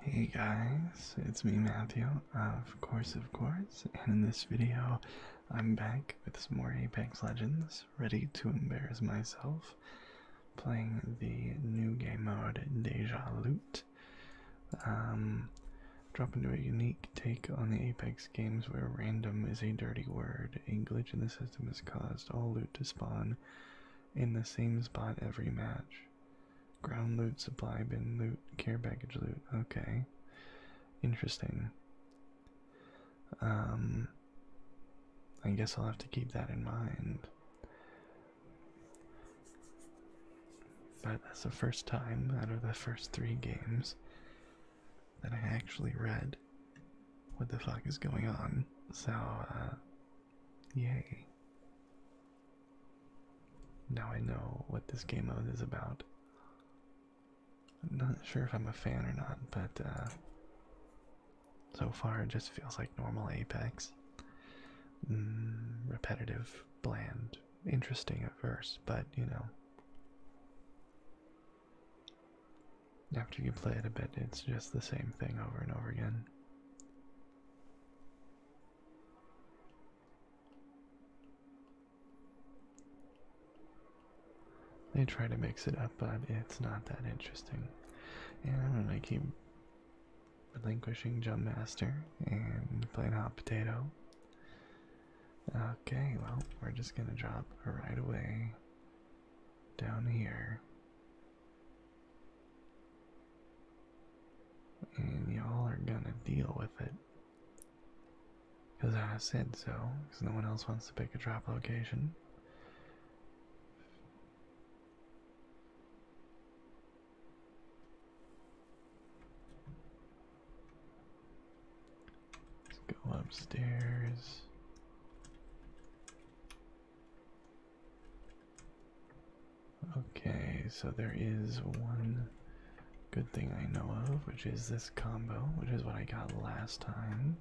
Hey guys, it's me Matthew, uh, of course, of course, and in this video I'm back with some more Apex Legends, ready to embarrass myself, playing the new game mode Deja Loot. Um, drop into a unique take on the Apex games where random is a dirty word. A glitch in the system has caused all loot to spawn in the same spot every match. Ground loot, supply bin loot, care package loot. Okay. Interesting. Um I guess I'll have to keep that in mind. But that's the first time out of the first three games that I actually read what the fuck is going on. So, uh, yay. Now I know what this game mode is about. I'm not sure if I'm a fan or not, but uh, so far it just feels like normal Apex. Mm, repetitive, bland, interesting at first, but you know. After you play it a bit, it's just the same thing over and over again. They try to mix it up, but it's not that interesting. And I keep relinquishing Jump Master and playing Hot Potato. Okay, well, we're just gonna drop right away down here and y'all are gonna deal with it. Because I said so, because no one else wants to pick a trap location. Let's go upstairs. Okay, so there is one good thing I know of, which is this combo, which is what I got last time.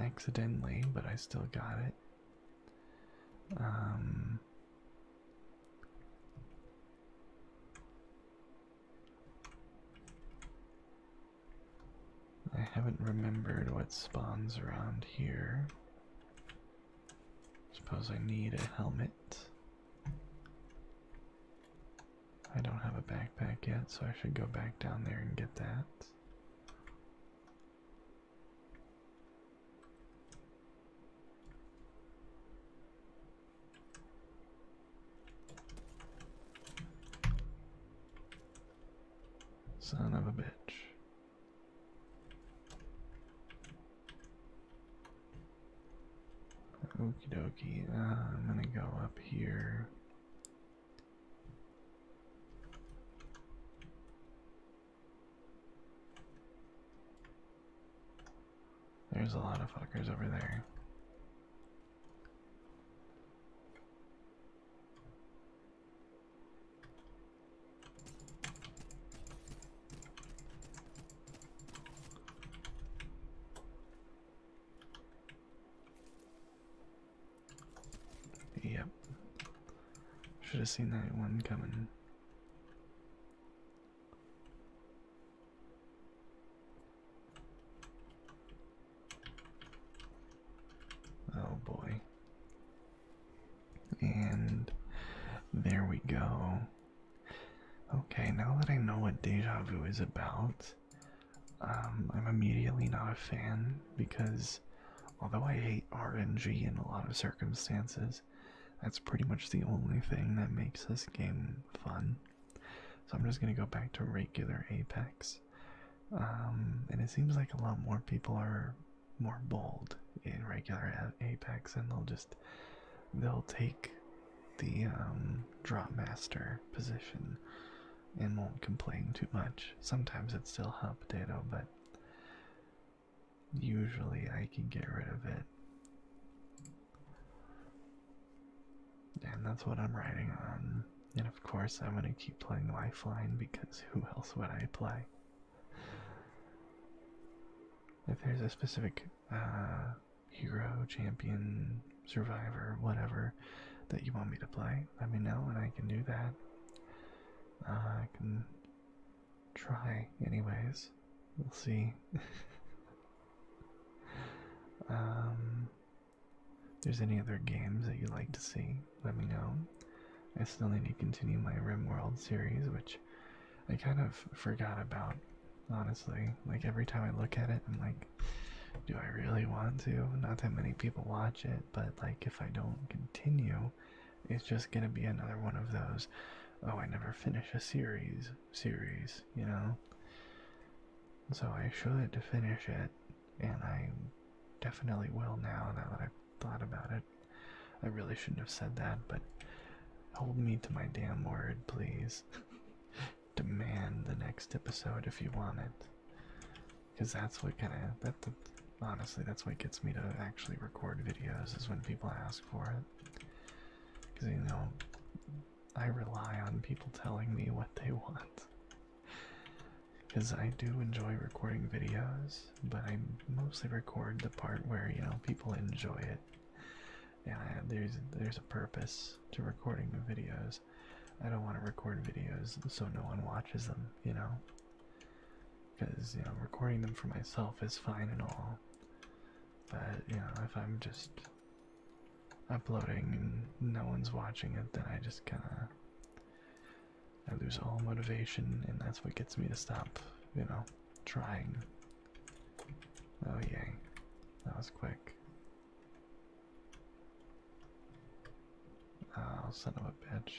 Accidentally, but I still got it. Um, I haven't remembered what spawns around here. Suppose I need a helmet. I don't have a backpack yet, so I should go back down there and get that. Son of a bitch. Okie dokie, uh, I'm gonna go up here. There's a lot of fuckers over there. Yep. Should have seen that one coming. Oh boy. And there we go. Okay, now that I know what deja vu is about, um, I'm immediately not a fan because although I hate RNG in a lot of circumstances, that's pretty much the only thing that makes this game fun. So I'm just gonna go back to regular Apex. Um, and it seems like a lot more people are more bold in regular Apex, and they'll just they'll take the um, drop master position and won't complain too much. Sometimes it still hot potato, but usually I can get rid of it. And that's what I'm writing on. And of course, I'm going to keep playing Lifeline because who else would I play? If there's a specific uh, hero, champion, survivor, whatever that you want me to play, let me know and I can do that. Uh, I can try, anyways. We'll see. um, if there's any other games that you'd like to see, let me know. I still need to continue my RimWorld series, which I kind of forgot about, honestly. Like, every time I look at it, I'm like, do I really want to? Not that many people watch it, but like, if I don't continue, it's just gonna be another one of those, oh, I never finish a series, series, you know? So I should finish it, and I definitely will now, now that I've thought about it. I really shouldn't have said that, but hold me to my damn word, please. Demand the next episode if you want it. Because that's what kind of, that, honestly, that's what gets me to actually record videos, is when people ask for it. Because, you know, I rely on people telling me what they want. Because I do enjoy recording videos, but I mostly record the part where, you know, people enjoy it. And there's, there's a purpose to recording the videos. I don't want to record videos so no one watches them, you know? Because, you know, recording them for myself is fine and all. But, you know, if I'm just uploading and no one's watching it, then I just kind of I lose all motivation, and that's what gets me to stop, you know, trying. Oh, yeah, That was quick. Ah, I'll send of a bitch.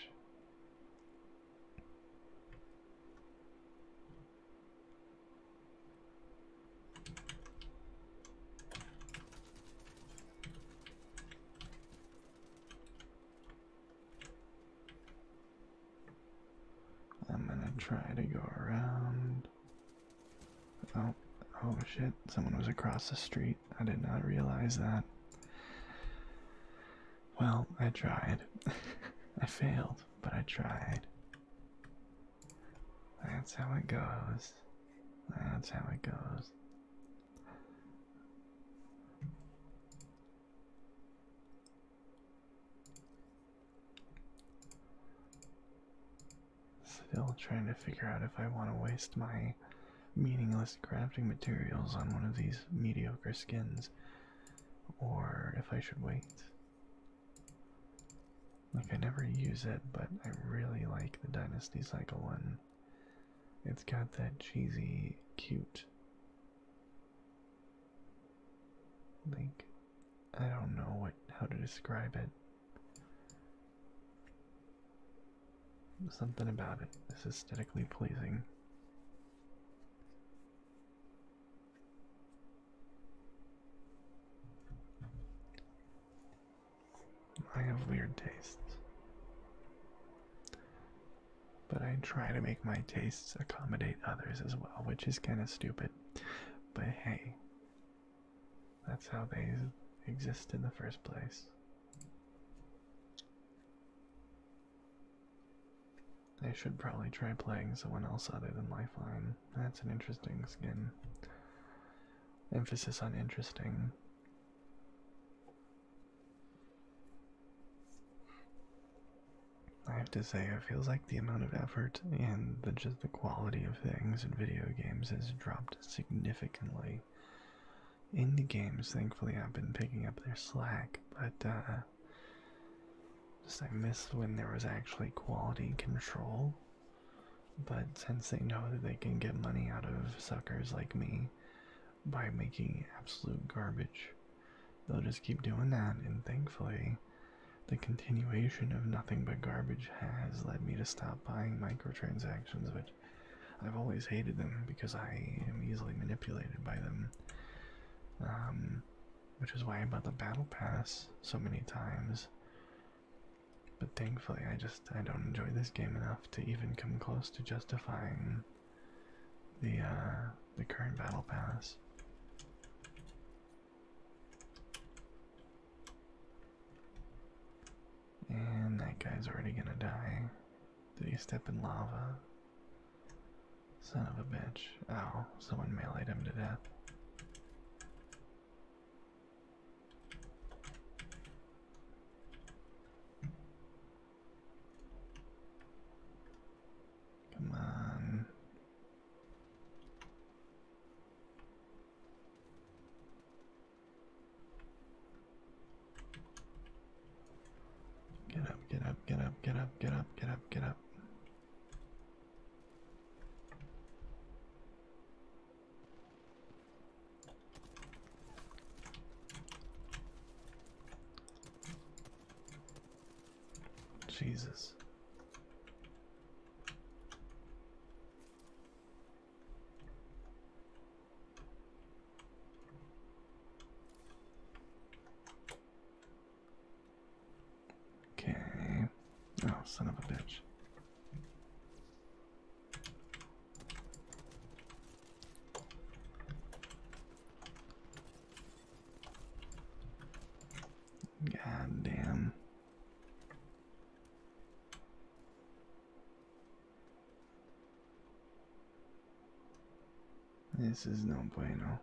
I'm gonna try to go around. Oh, oh shit, someone was across the street. I did not realize that. Well, I tried. I failed, but I tried. That's how it goes. That's how it goes. Still trying to figure out if I want to waste my meaningless crafting materials on one of these mediocre skins or if I should wait. Like, I never use it, but I really like the Dynasty Cycle one. It's got that cheesy, cute. Like, I don't know what how to describe it. Something about it is aesthetically pleasing. I have weird tastes. But I try to make my tastes accommodate others as well, which is kind of stupid. But hey, that's how they exist in the first place. I should probably try playing someone else other than Lifeline. That's an interesting skin. Emphasis on interesting. I have to say, it feels like the amount of effort and just the quality of things in video games has dropped significantly. Indie games, thankfully, i have been picking up their slack, but uh, just I miss when there was actually quality control but since they know that they can get money out of suckers like me by making absolute garbage, they'll just keep doing that. And thankfully, the continuation of nothing but garbage has led me to stop buying microtransactions, which I've always hated them because I am easily manipulated by them. Um, which is why I bought the Battle Pass so many times. But thankfully, I just I don't enjoy this game enough to even come close to justifying the uh, the current battle pass. And that guy's already gonna die. Did he step in lava? Son of a bitch. Ow, someone meleeed him to death. Come on. Get up, get up, get up, get up, get up, get up, get up. Jesus. Okay. Oh, son of a bitch. God This is no bueno.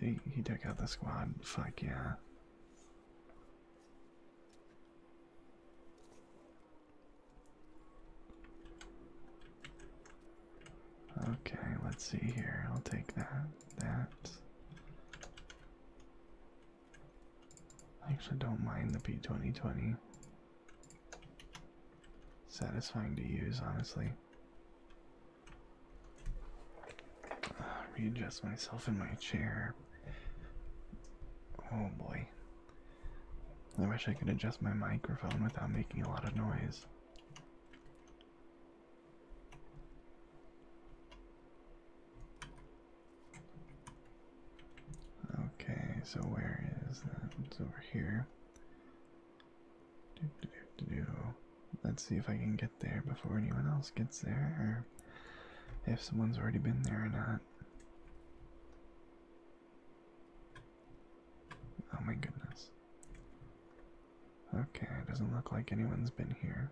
He, took out the squad. Fuck yeah. Okay, let's see here. I'll take that. That. I actually don't mind the P2020. Satisfying to use, honestly. readjust myself in my chair. Oh boy. I wish I could adjust my microphone without making a lot of noise. Okay, so where is that? It's over here. Let's see if I can get there before anyone else gets there, if someone's already been there or not. Oh my goodness. Okay, it doesn't look like anyone's been here.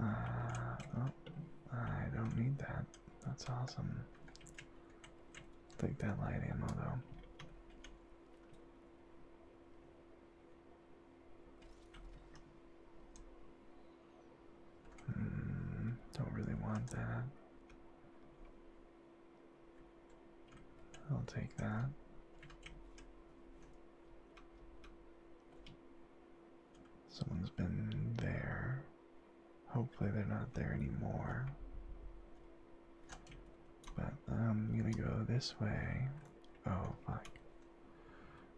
Uh, oh, I don't need that. That's awesome. Take that light ammo though. Mm, don't really want that. I'll take that. Someone's been there. Hopefully, they're not there anymore. But um, I'm gonna go this way. Oh, fuck.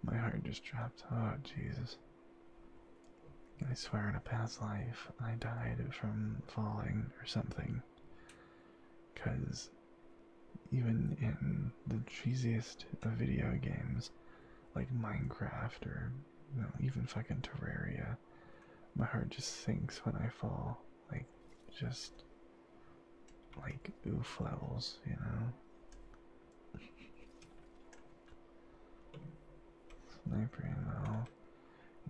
My heart just dropped. Oh, Jesus. I swear in a past life, I died from falling or something. Because even in the cheesiest of video games, like Minecraft or even fucking Terraria, my heart just sinks when I fall. Like, just like oof levels, you know? Sniper ammo.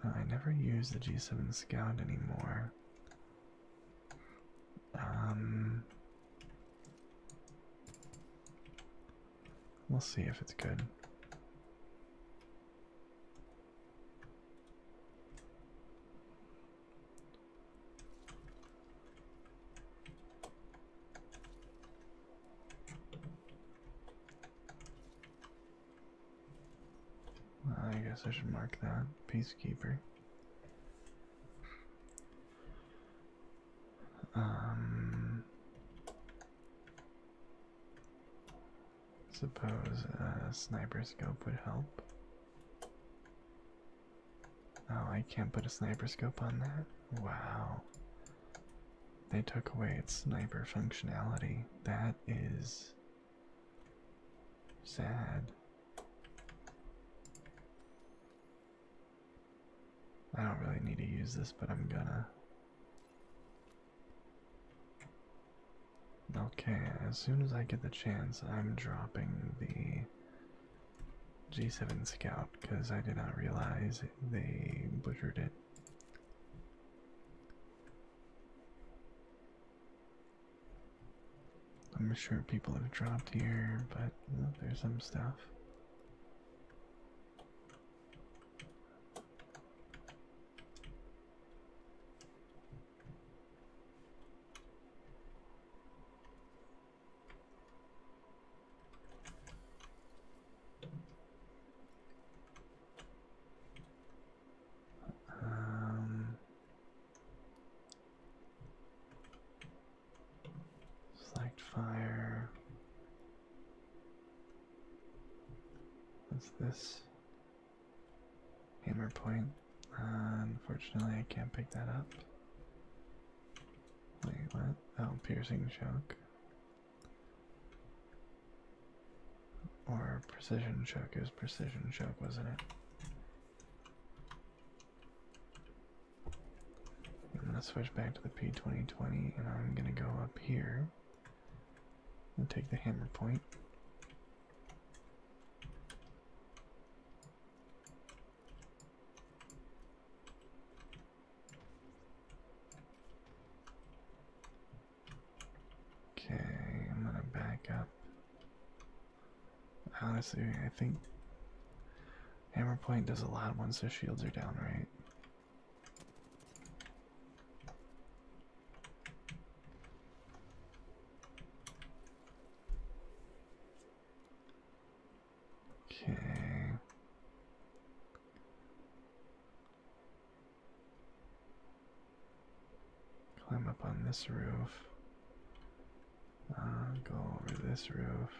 I never use the G7 Scout anymore. Um, we'll see if it's good. I guess I should mark that. Peacekeeper. Um, suppose a sniper scope would help. Oh, I can't put a sniper scope on that? Wow. They took away its sniper functionality. That is sad. I don't really need to use this, but I'm gonna. Okay, as soon as I get the chance, I'm dropping the G7 Scout because I did not realize they butchered it. I'm sure people have dropped here, but there's some stuff. Um, select fire. What's this? Hammer point. Uh, unfortunately, I can't pick that up. Wait, what? Oh, piercing shock. Or precision choke. is precision choke, wasn't it? I'm going to switch back to the P2020 and I'm going to go up here and take the hammer point. Okay, I'm gonna back up. Honestly, I think Hammer Point does a lot once their shields are down, right? Okay. Climb up on this roof. Uh, go over this roof.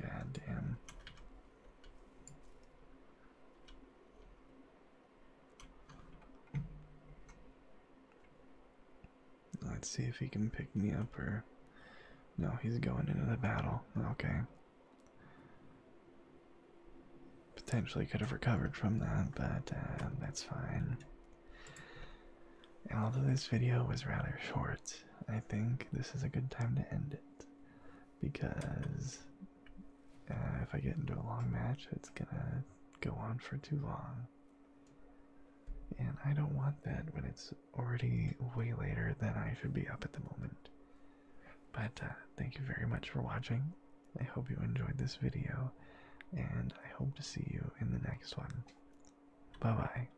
God Let's see if he can pick me up or. No, he's going into the battle. Okay. Potentially could have recovered from that, but uh, that's fine. although this video was rather short, I think this is a good time to end it because uh, if I get into a long match, it's gonna go on for too long. And I don't want that when it's already way later than I should be up at the moment. But uh, thank you very much for watching. I hope you enjoyed this video, and I hope to see you in the next one. Bye bye.